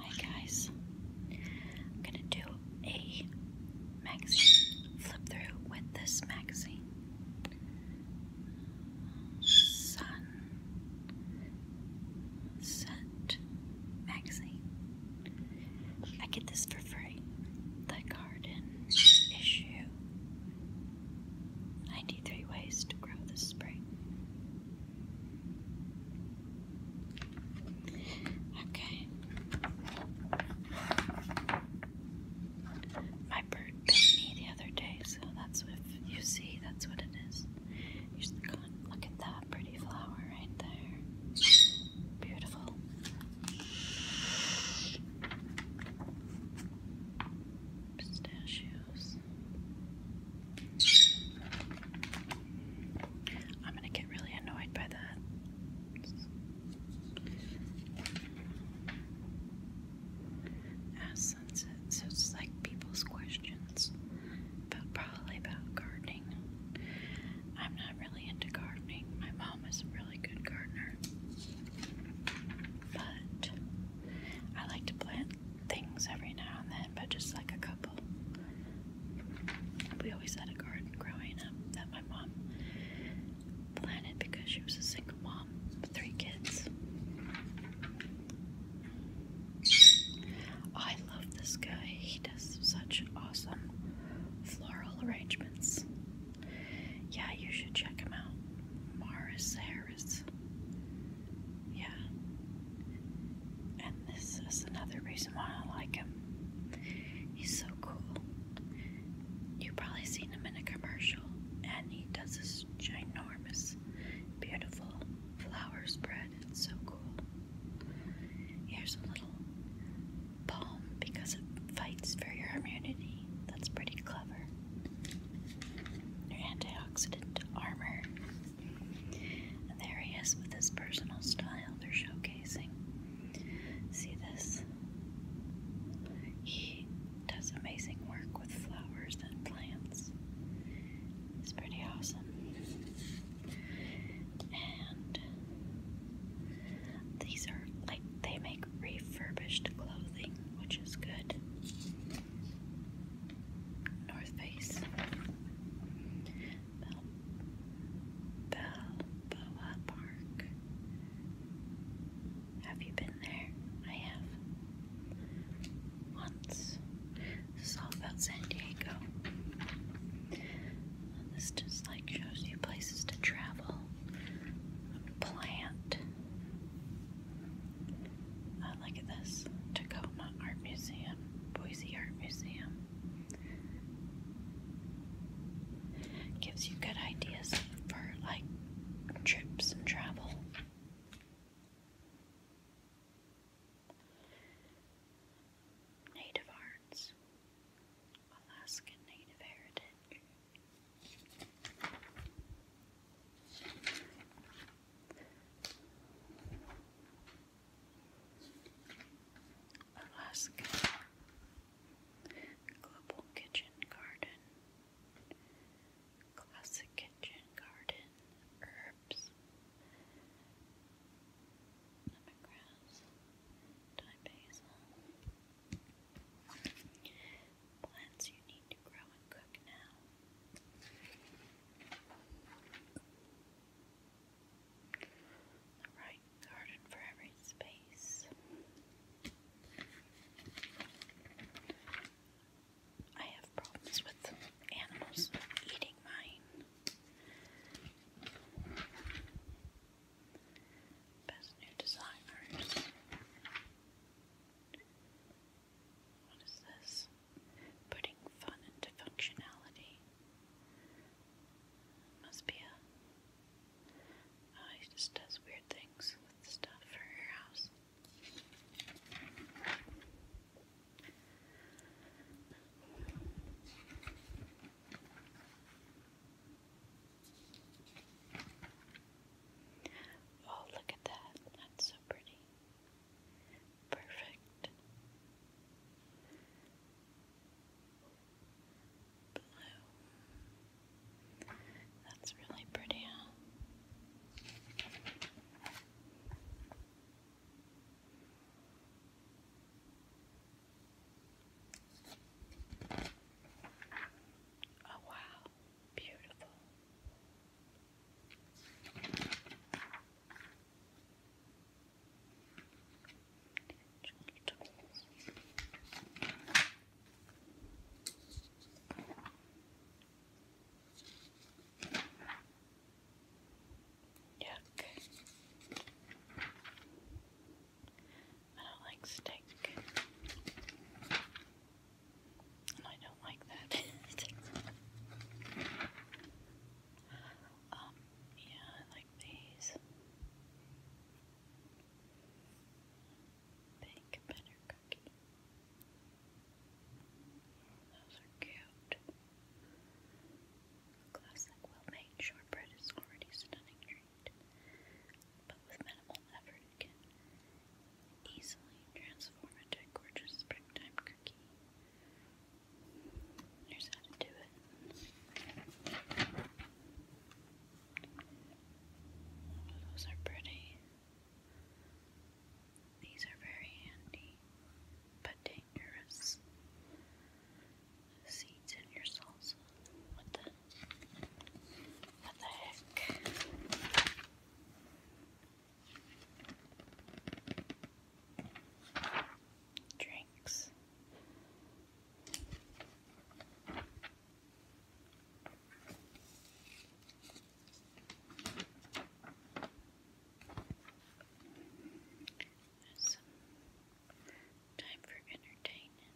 Hi guys, I'm gonna do a magazine flip through with this magazine. Sun Set magazine. I get this for free. The garden issue. 93 ways to grow this spring. Okay. My bird bit me the other day, so that's what you see, that's what it is. Look at that pretty flower right there. Beautiful. Pistachios. I'm gonna get really annoyed by that. Ask sunset, so it's like people's questions, but probably about gardening. I'm not really into gardening. My mom is a really good gardener, but I like to plant things every now and then, but just like a couple. We always had a garden growing up that my mom planted because she was a single mom with three kids. I love this guy. He does such awesome floral arrangements. Yeah, you should check him out. Morris Harris. Yeah. And this is another reason why I like him. He's so cool. You've probably seen him in a commercial, and he does this ginormous, beautiful flower spread. It's so cool. Here's a little balm because it fights for your immunity. That's pretty clever. Your antioxidant armor. And there he is with his personal style they're showcasing. See this? He does amazing work with flowers and plants. It's pretty awesome. And these are like they make refurbished clothing, which is good. North Face, Bel Balboa Park. Have you been there? I have. Once. This is all about San Diego. this just like shows you places to travel, plant. Uh, look this Tacoma Art Museum. Boise Art Museum gives you good ideas for like trips and travel. Native Arts, Alaskan Native Heritage. Alaska Global Kitchen Garden Classic Kitchen Garden Herbs Lemongrass Thyme Basil Plants you need to grow and cook now the right garden for every space. I have problems with animals eating mine. Best new designers. What is this? putting fun into functionality. Must be a. Oh, just does weird things with stuff for her house. Oh, look at that. That's so pretty. Perfect. Blue. That's really pretty, Oh, wow, beautiful. Yuck. I don't like steak. I don't like that. Um, yeah, like these. Those are cute. Classic, well-made shortbread is already a stunning treat, but with minimal effort, easily transform into a gorgeous springtime cookie. Here's how to do it. those are pretty. These are very handy, but dangerous. seeds in your salsa. What the? What the heck? Drinks. time for entertaining.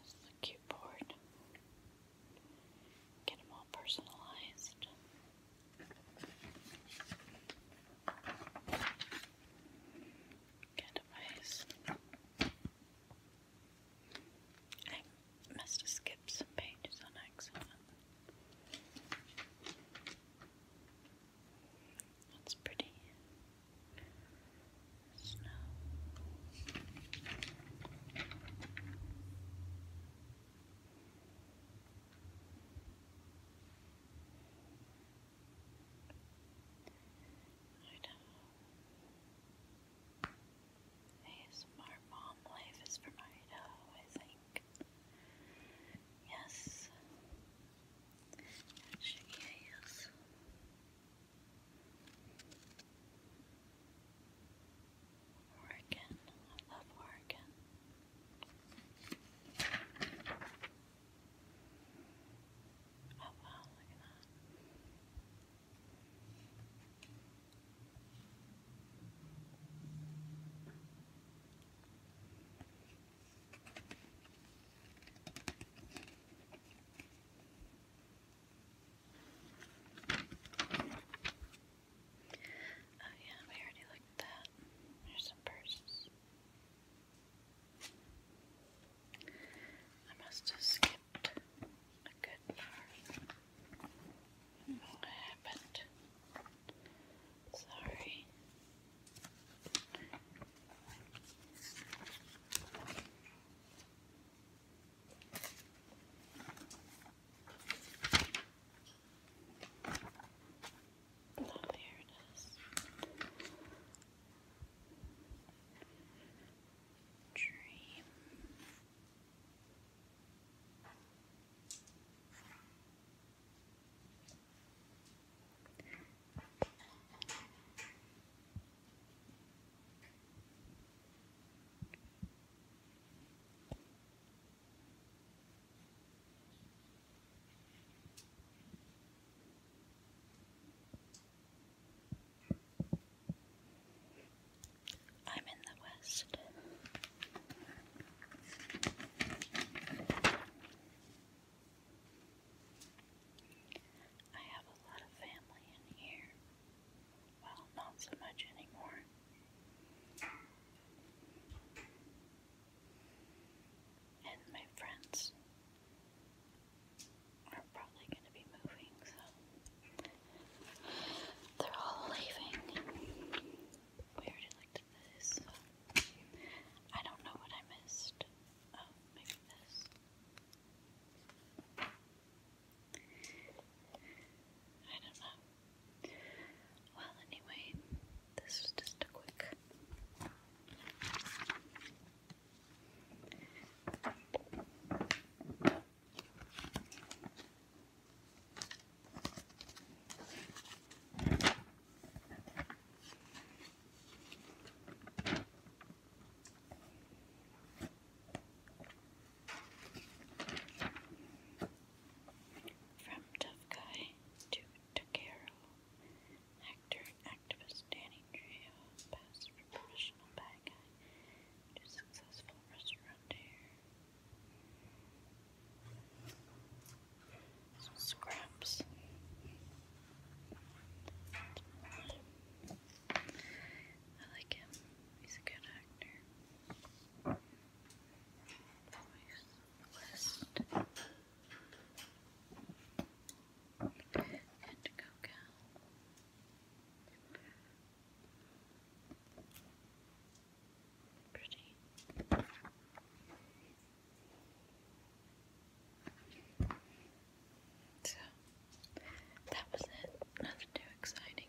This is a Get them all personalized. Kind of ways. I must pages on accident. That's pretty. Snow. I know. ASMR Mom Life is from Idaho, I think. Yes. Actually, yes. Oregon. I love Oregon. Oh wow, look at that. Oh yeah, we already looked at that. There's some purses. I must have skipped a good part. What happened? Sorry. Oh, there it is. Dream. I'm in the West. I have a lot of family in here. Well, not so much anymore and my friends are probably going to be moving, so they're all leaving. We already looked at this. I don't know what I missed. Oh, maybe this. I don't know. Well, anyway, this is just a quick from tough guy to Takero, actor activist Danny Trejo passed from professional bad guy to successful restaurateur. scraps. I like him. He's a good actor. West and Cocal. Pretty. So that was it. Nothing too exciting